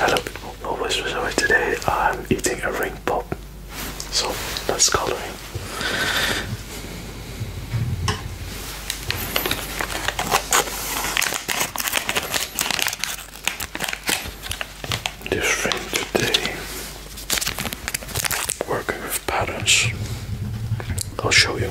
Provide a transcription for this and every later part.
Hello people, no voice voiceover today. I'm eating a ring pop. So that's coloring. This today working with patterns. I'll show you.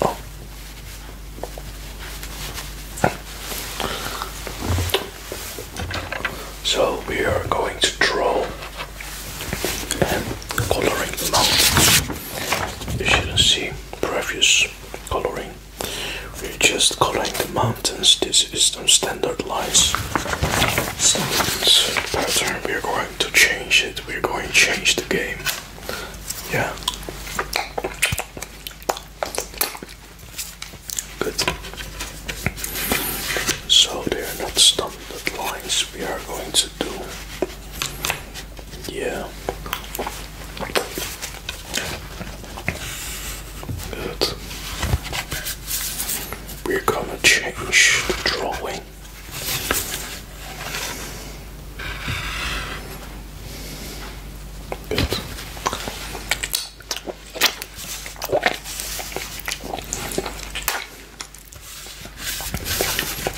Oh. So we are going to draw and coloring them out. You shouldn't see previous coloring. We're just coloring the mountains. This is some standard lines. Standard pattern. We're going to change it we're going to change the game. Yeah. Good. So they are not standard lines we are going to do. Yeah. Good. We're gonna change the drawing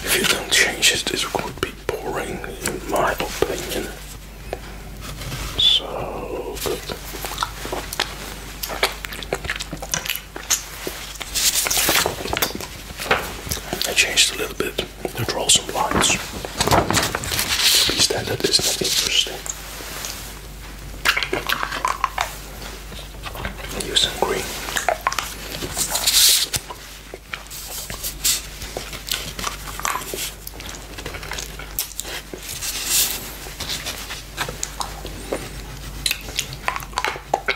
if you don't change it, this would be boring, in my opinion. So I changed a little bit to draw some lines. To be standard is not interesting. I use some green.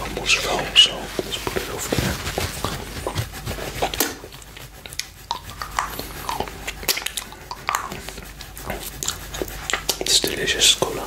Almost fell, so let's put it over there. It's delicious cola.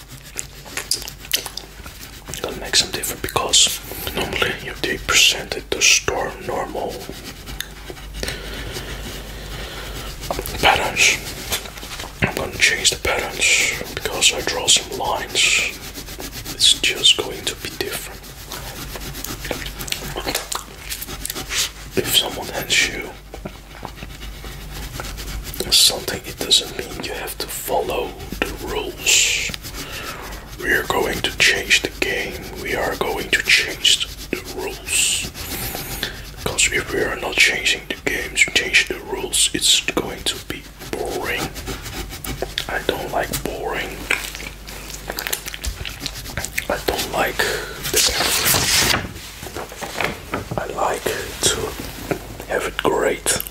That makes them different because normally you they present it to store normal patterns. I'm gonna change the patterns because I draw some lines. It's just going to be different. If someone hands you something, it doesn't mean you have to follow the rules. We are going to change the game, we are going to change the rules. Because if we are not changing the games, change the rules, it's going to be boring. I don't like boring. I don't like I like to have it great.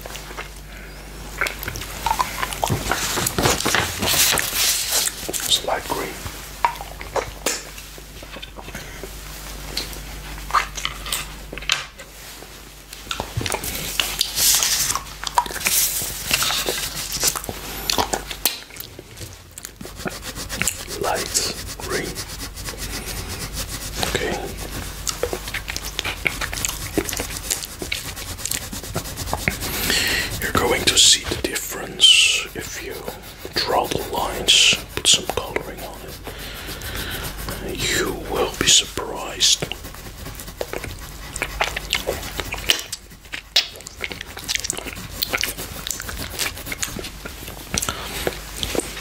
light green. Light green. You're going to see the difference if you draw the lines, put some coloring on it. You will be surprised.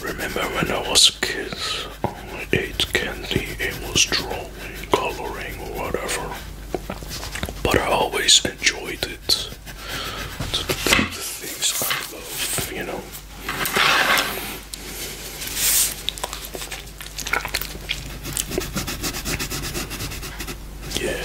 Remember when I was a kid, only ate candy and was drawing, coloring, whatever. But I always enjoyed it. the things I love, you know. Yeah.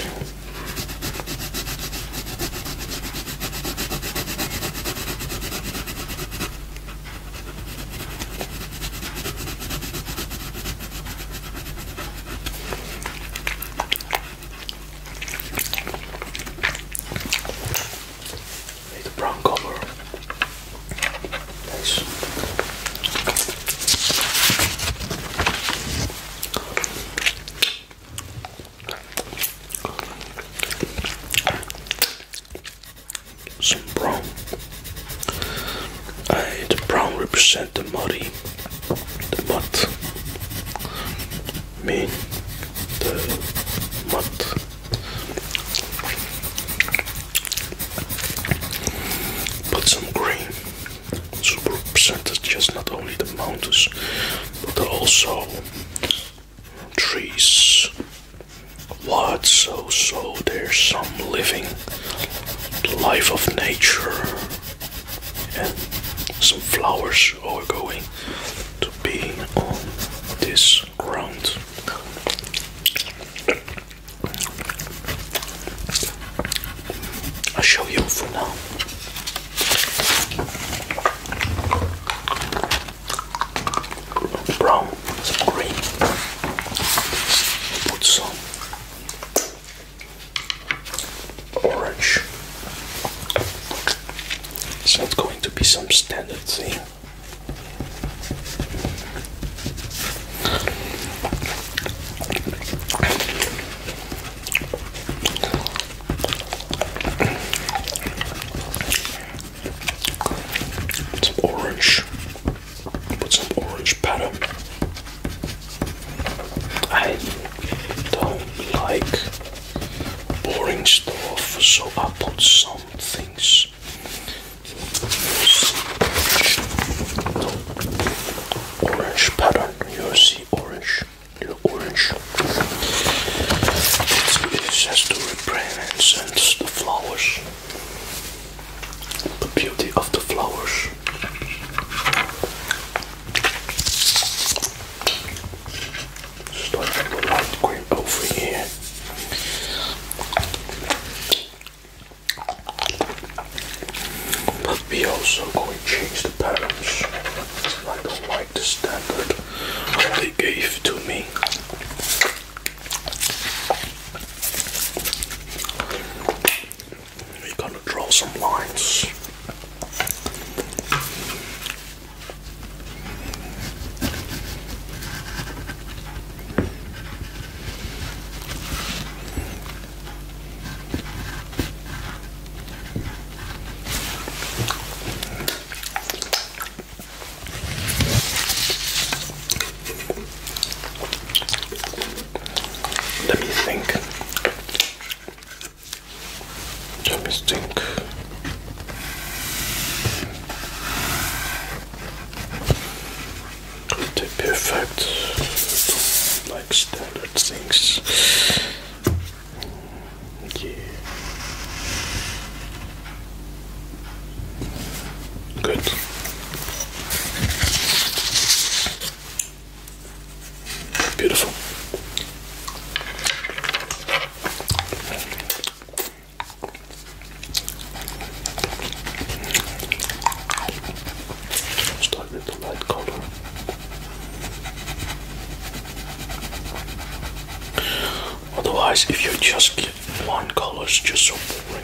brown color. Nice. Some brown. Uh, the brown represent the muddy, the mud. Mean the mud. Put some green super represented just not only the mountains but also trees what so so there's some living life of nature and some flowers are going to be on this ground I'll show you for now brown, green. Put some orange. So it's going to be some standard thing. Some orange. Put some orange batter. I don't like boring stuff, so I put some things. Orange pattern, you see orange orange. Little orange. It has to sense the flowers. The beauty of the flowers. Start with the light over here. But we also going to change the patterns. I don't like the standard they gave to me. We're gonna draw some lines. Let me think. Let me think. The perfect, like standard things. Okay. Good. Beautiful. Start with the light color. Otherwise, if you just get one color, it's just so boring.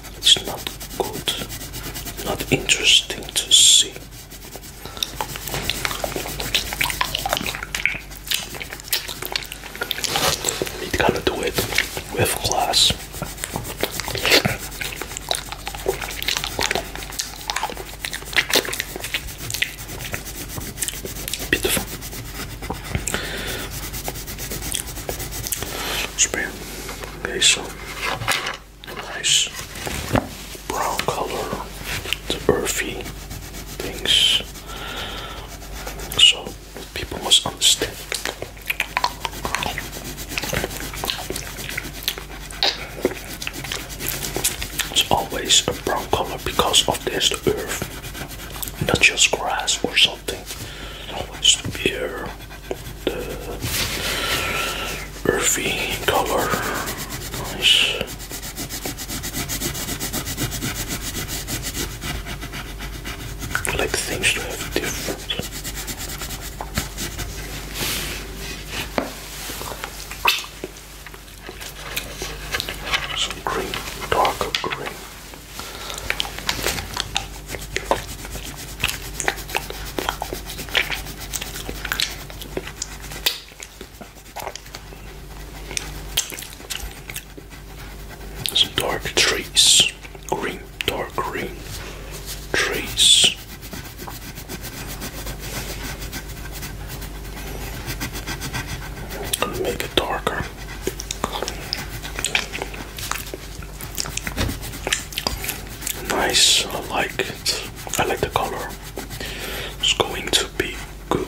It's not good, not interesting to see. It gonna do it with glass. Beautiful. Spare. Okay, so nice brown color, the earthy things. So people must understand. It's always a brown color because of this the earth, not just grass or something. always the air earthy color. Nice. like things to have different. Some green, darker green. Some dark trees, green, dark green trees. Gonna make it darker. Nice, I like it. I like the color. It's going to be good.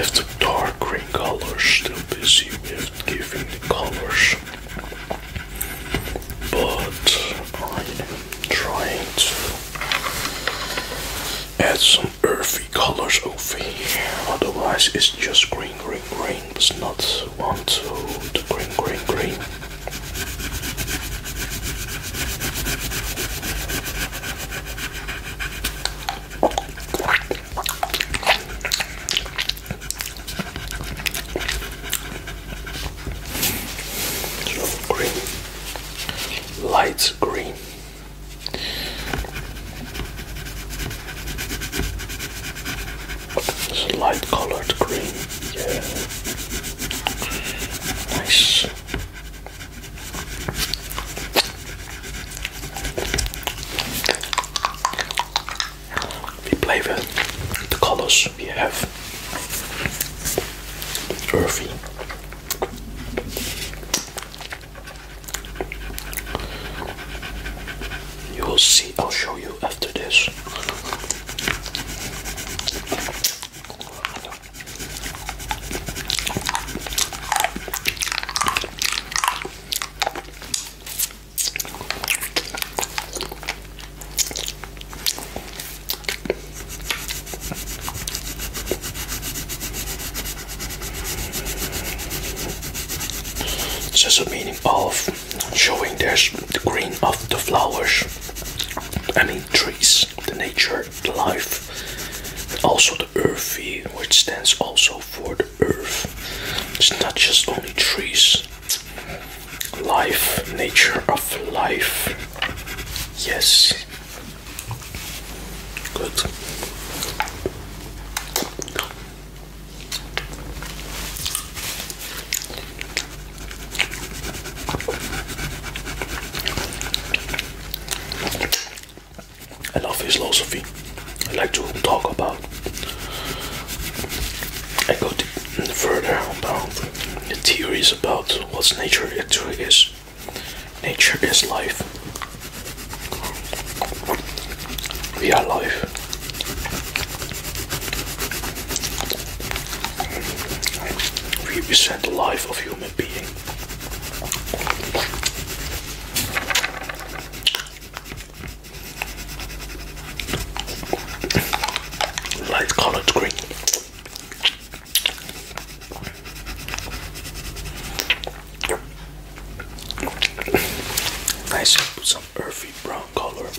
If the dark green colors still busy with giving the colors but I am trying to add some earthy colors over here. Otherwise, it's just green, green, green. It's not want to the green, green, green green, light green. light colored green, Nice we play with the colors we have. Earthy. You will see, I'll show you after this. It's just a meaning of showing the green of the flowers. I mean trees, the nature, the life, also the earthy, which stands also for the earth. It's not just only trees life, nature of life. Yes. Good. I love philosophy. I like to talk about. I got it further unbound the theories about what nature actually is. Nature is life. We are life. We represent the life of human being. Light colored green. Nice some earthy brown color.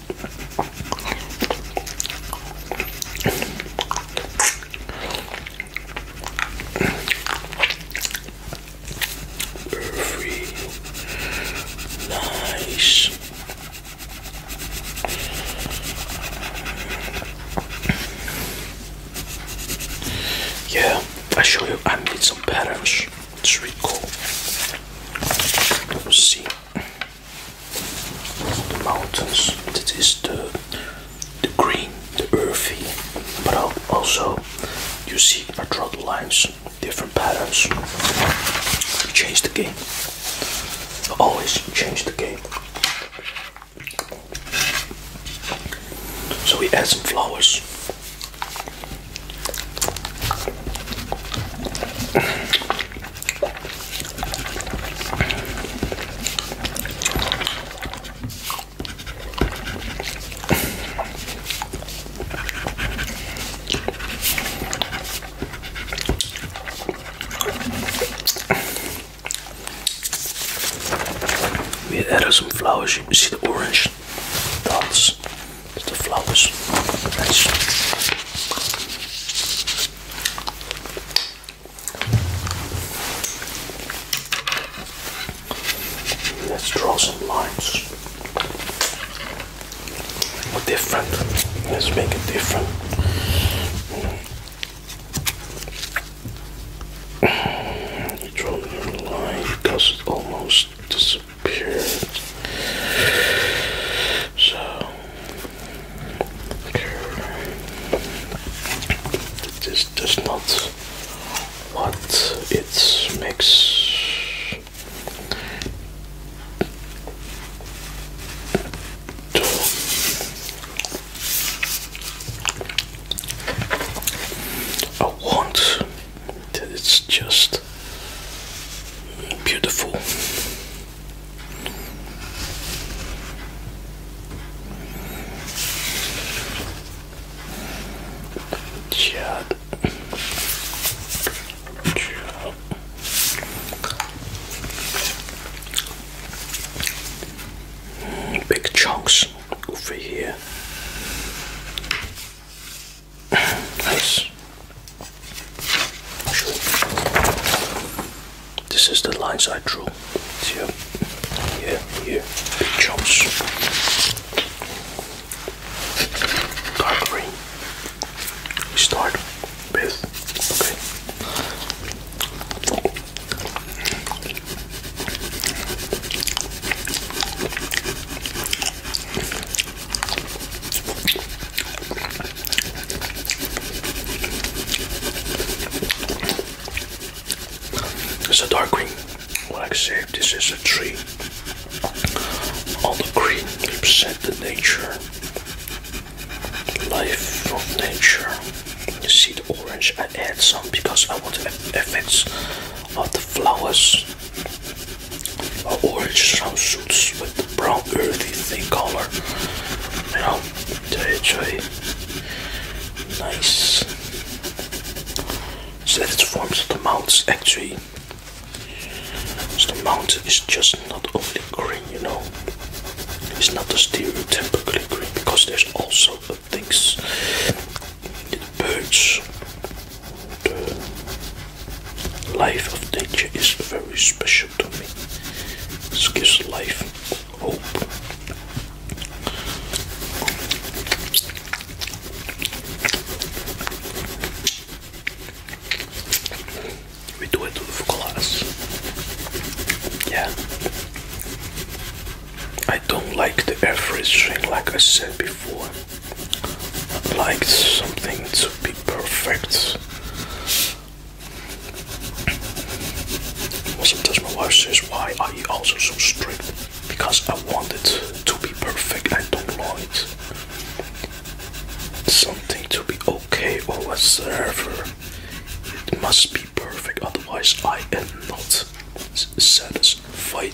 Earthy, nice. Yeah, I show you. I made some patterns. It's really cool. You see the mountains. That is the the green, the earthy, but also you see I draw the lines different patterns. Change the game. Always change the game. So we add some flowers. We added some flowers. see the orange dots. the flowers. Let's draw some lines different. Let's make it different. You line because it almost disappeared. So, it just does not what it makes I want it's just beautiful. Yeah. Big chunks over here. Nice. This is the lines I drew. Here, here, here. Big chunks. Dark green. start it's a dark green. like I said, this is a tree. All the green represent the nature life of nature. You see the orange, I add some because I want the effects of the flowers. Orange sound with the brown earthy thing color. You know, it's really nice. So that it forms the mounts actually. So the mountain is just not only green, you know. It's not the stereotypically green because there's also things, the birds, the life of nature is very special to me. This gives life hope. We do it with glass. Yeah. I don't like the average thing, like I said before. I like something to be perfect. Sometimes my wife says, Why are you also so strict? Because I want it to be perfect, I don't like it something to be okay or whatsoever. It must be perfect, otherwise I am not satisfied.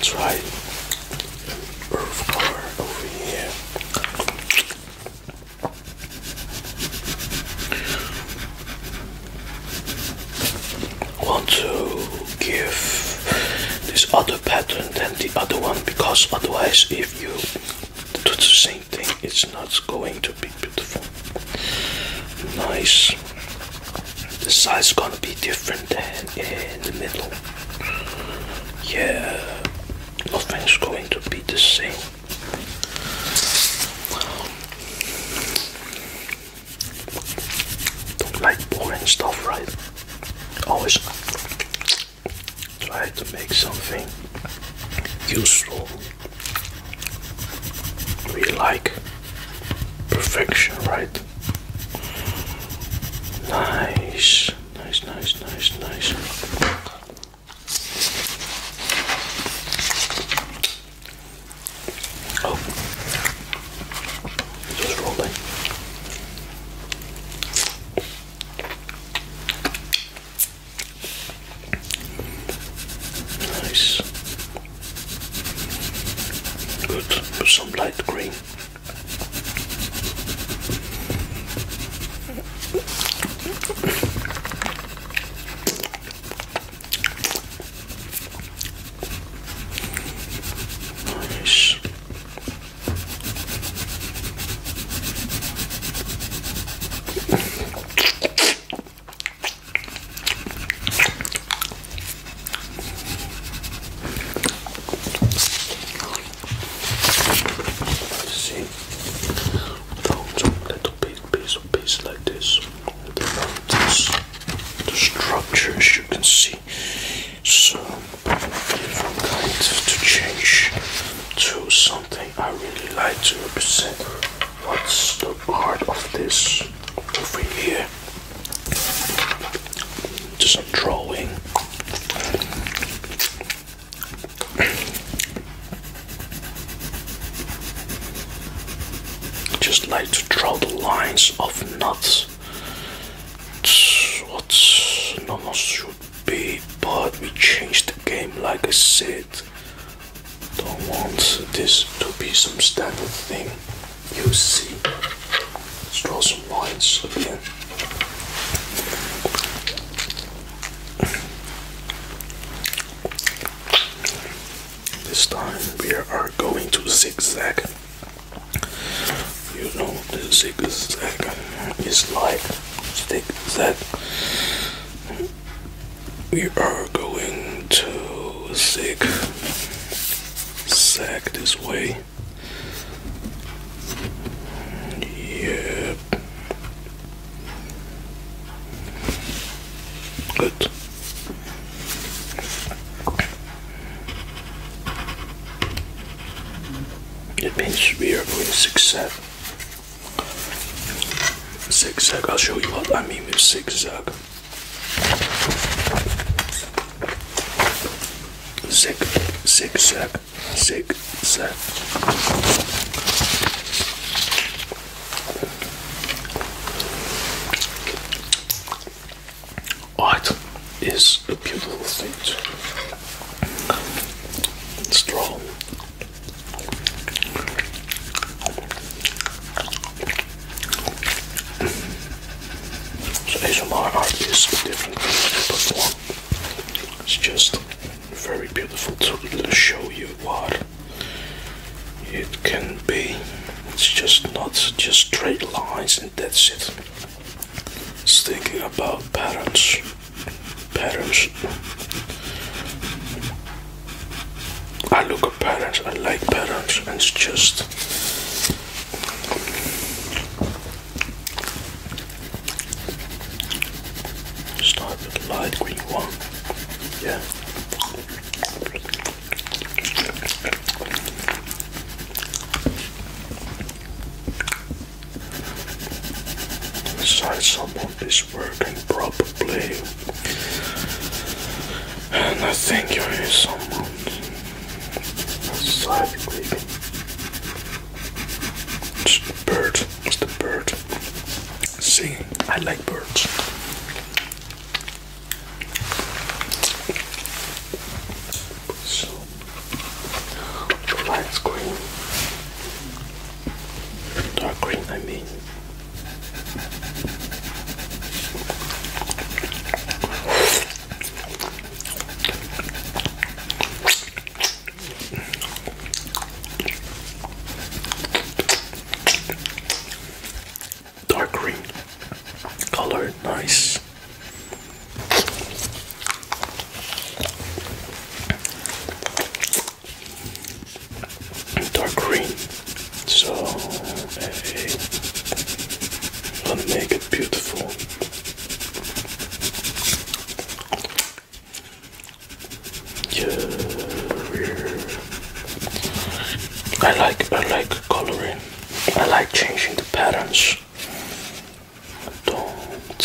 Try earth color over here. Want to give this other pattern than the other one because otherwise, if you do the same thing, it's not going to be beautiful. Nice. The size gonna be different than in the middle. Yeah, nothing's going to be the same. Don't like boring stuff, right? Always try to make something useful. We like perfection, right? Nice, nice, nice, nice, nice. Oh, just rolling. Nice. Good, some light green. Nice. See, those little big piece of piece like this. The structures you can see. So different kinds to change to something I really like to represent what's the art of this over here? Just drawing. Just like to draw the lines of nuts. What normal should be, but we changed the game like I said don't want this to be some standard thing you see. Let's draw some lines again. This time we are going to zigzag. You know, the zigzag is like zigzag we are going to zigzag this way. Yep. Good. It means we are going zigzag. Zigzag. I'll show you what I mean with zigzag. Zig, zig, zag, zig, zag. Art is a beautiful thing. strong. So my art is a different platform. It's just very beautiful to show you what it can be. It's just not just straight lines and that's it. It's thinking about patterns. Patterns. I look at patterns, I like patterns, and it's just start with light green one. Yeah. Inside someone is working probably and I think there is someone outside creeping. It's the bird. It's the bird. See, I like birds. So, the light green. Dark green, I mean. Dark green color, nice dark green. So I wanna make it beautiful. Yeah, I like I like coloring. I like changing the patterns. I don't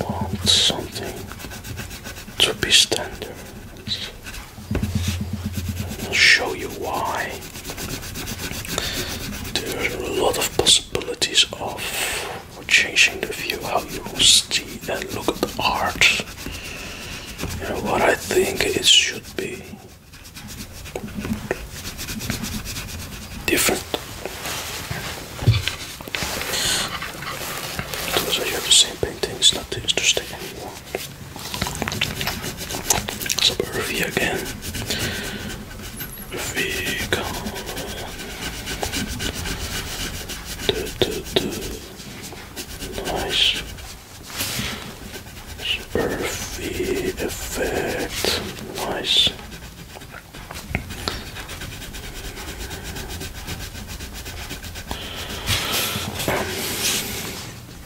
want something to be standard. I'll show you why. There are a lot of possibilities of changing the view, how you see and look at the art. And what I think it should be different. Because I have the same paintings, not interesting anymore. Spurvy Perfi again. Vegan. Du, du, du. Nice. Earthy effect. Nice.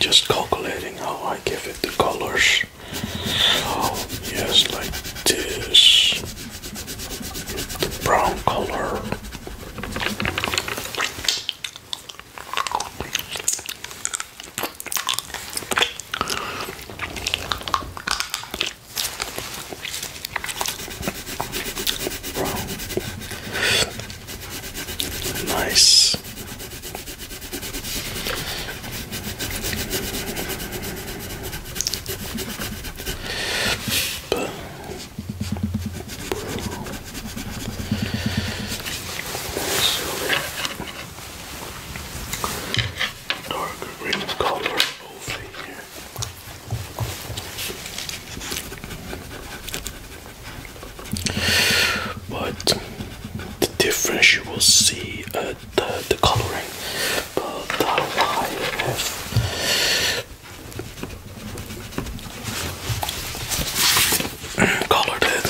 Just calculating how I give it the colors. Oh, yes, like this. brown color. Nice. Darker green color but the difference you will see uh, the, the coloring, colored it.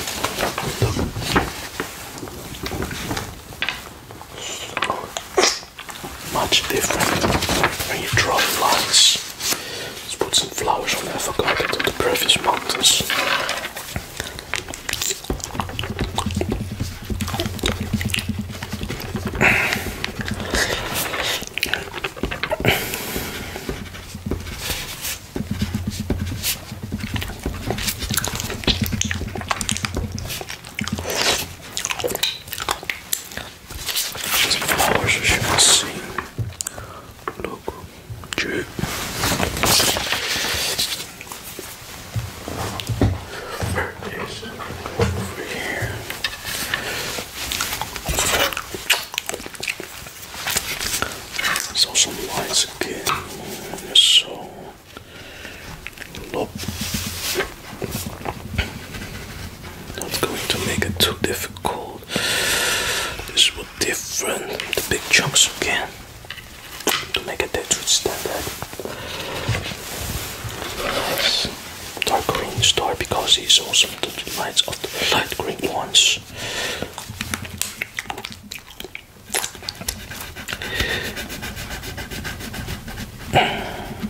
Much different when you draw the lines. Let's put some flowers on the avocado to the previous mountains flowers you see. Look, cheap. it is. Over here. So some lights again. So look. Not going to make it too difficult. This will different the big chunks again to make it that standard. Nice. Dark green star because he's also the lights of the light green ones.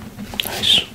nice.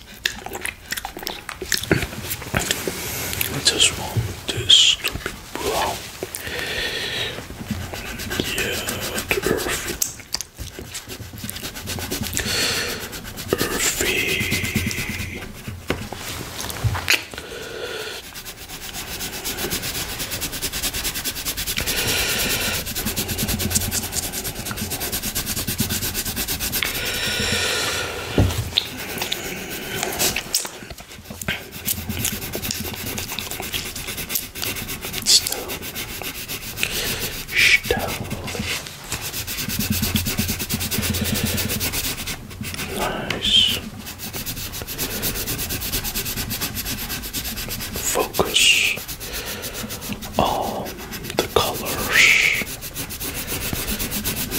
I just want this to be brown. Yeah, earthy. Earthy. Snow. Snow. Nice. Focus. All um, the colors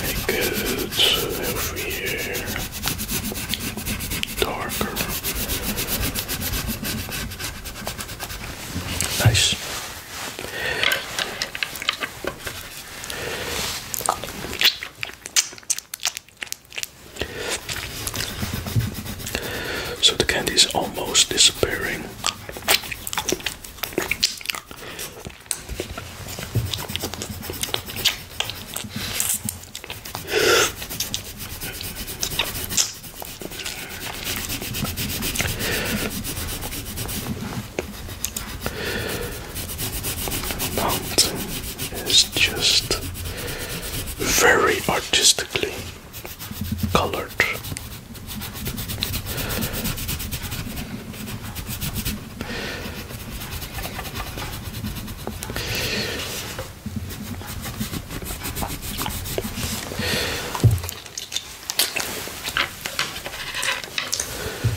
make it every darker. Nice. So the candy is almost disappearing. The mountain is just very artistically colored.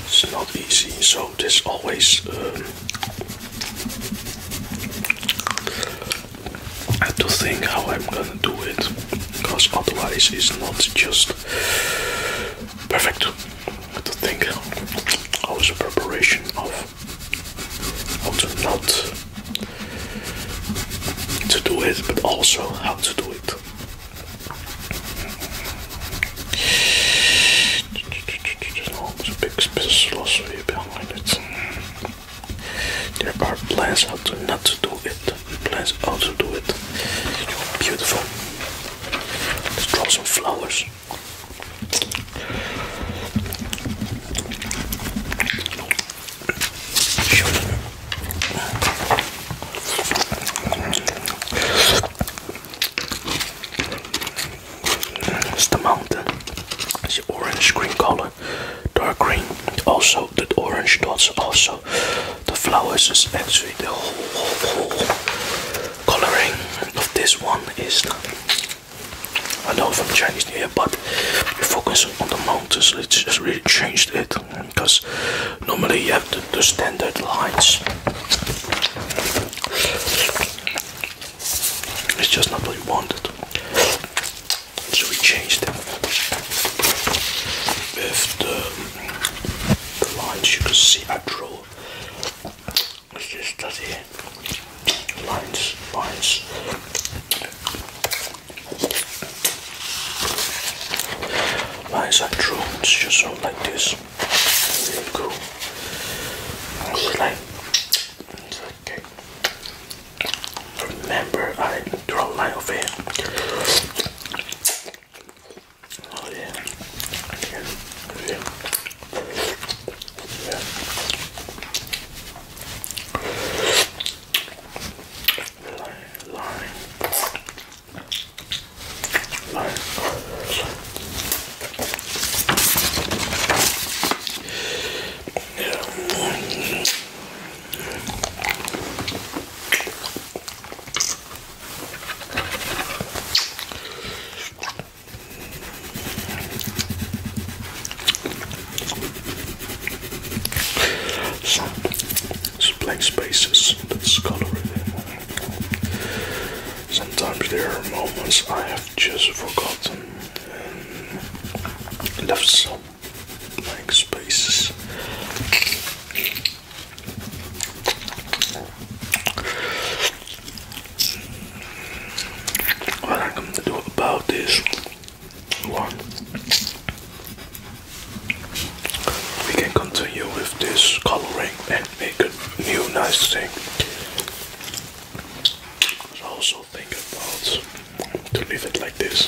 It's not easy, so there's always um, I have to think how I'm gonna do it because otherwise it's not just perfect to think also preparation of how to not to do it but also how to do it it there are plans how to not to do it Let's also do it. Beautiful. Let's draw some flowers. It's the mountain. It's orange green color, dark green. Also, the orange dots also the flowers is actually the whole, coloring of this one is I know from Chinese New Year, but you focus on the mountains. It's just really changed it because normally you have the standard lines. It's just not what you wanted. So we changed it with the, lines you can see I draw. It's just that here. Lines, lines. Lines I drew, it's just all like this. Really cool. It's like, okay. Remember, I draw my line of Oh Yeah. So, blank spaces that's coloring. Sometimes there are moments I have just forgotten and left blank spaces. What I'm going to do about this we can continue with this coloring and make a new nice thing. I also think about to leave it like this.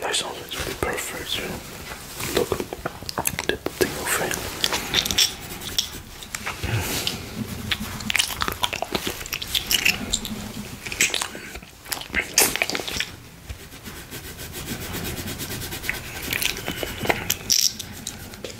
That sounds really perfect. You know? Look, the potato thing.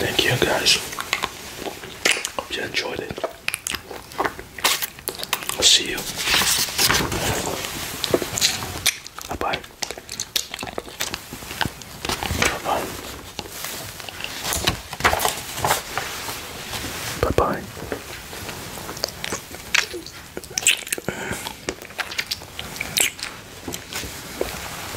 Thank you guys. Hope you enjoyed it. I'll see you. Bye-bye. Bye-bye. Bye-bye.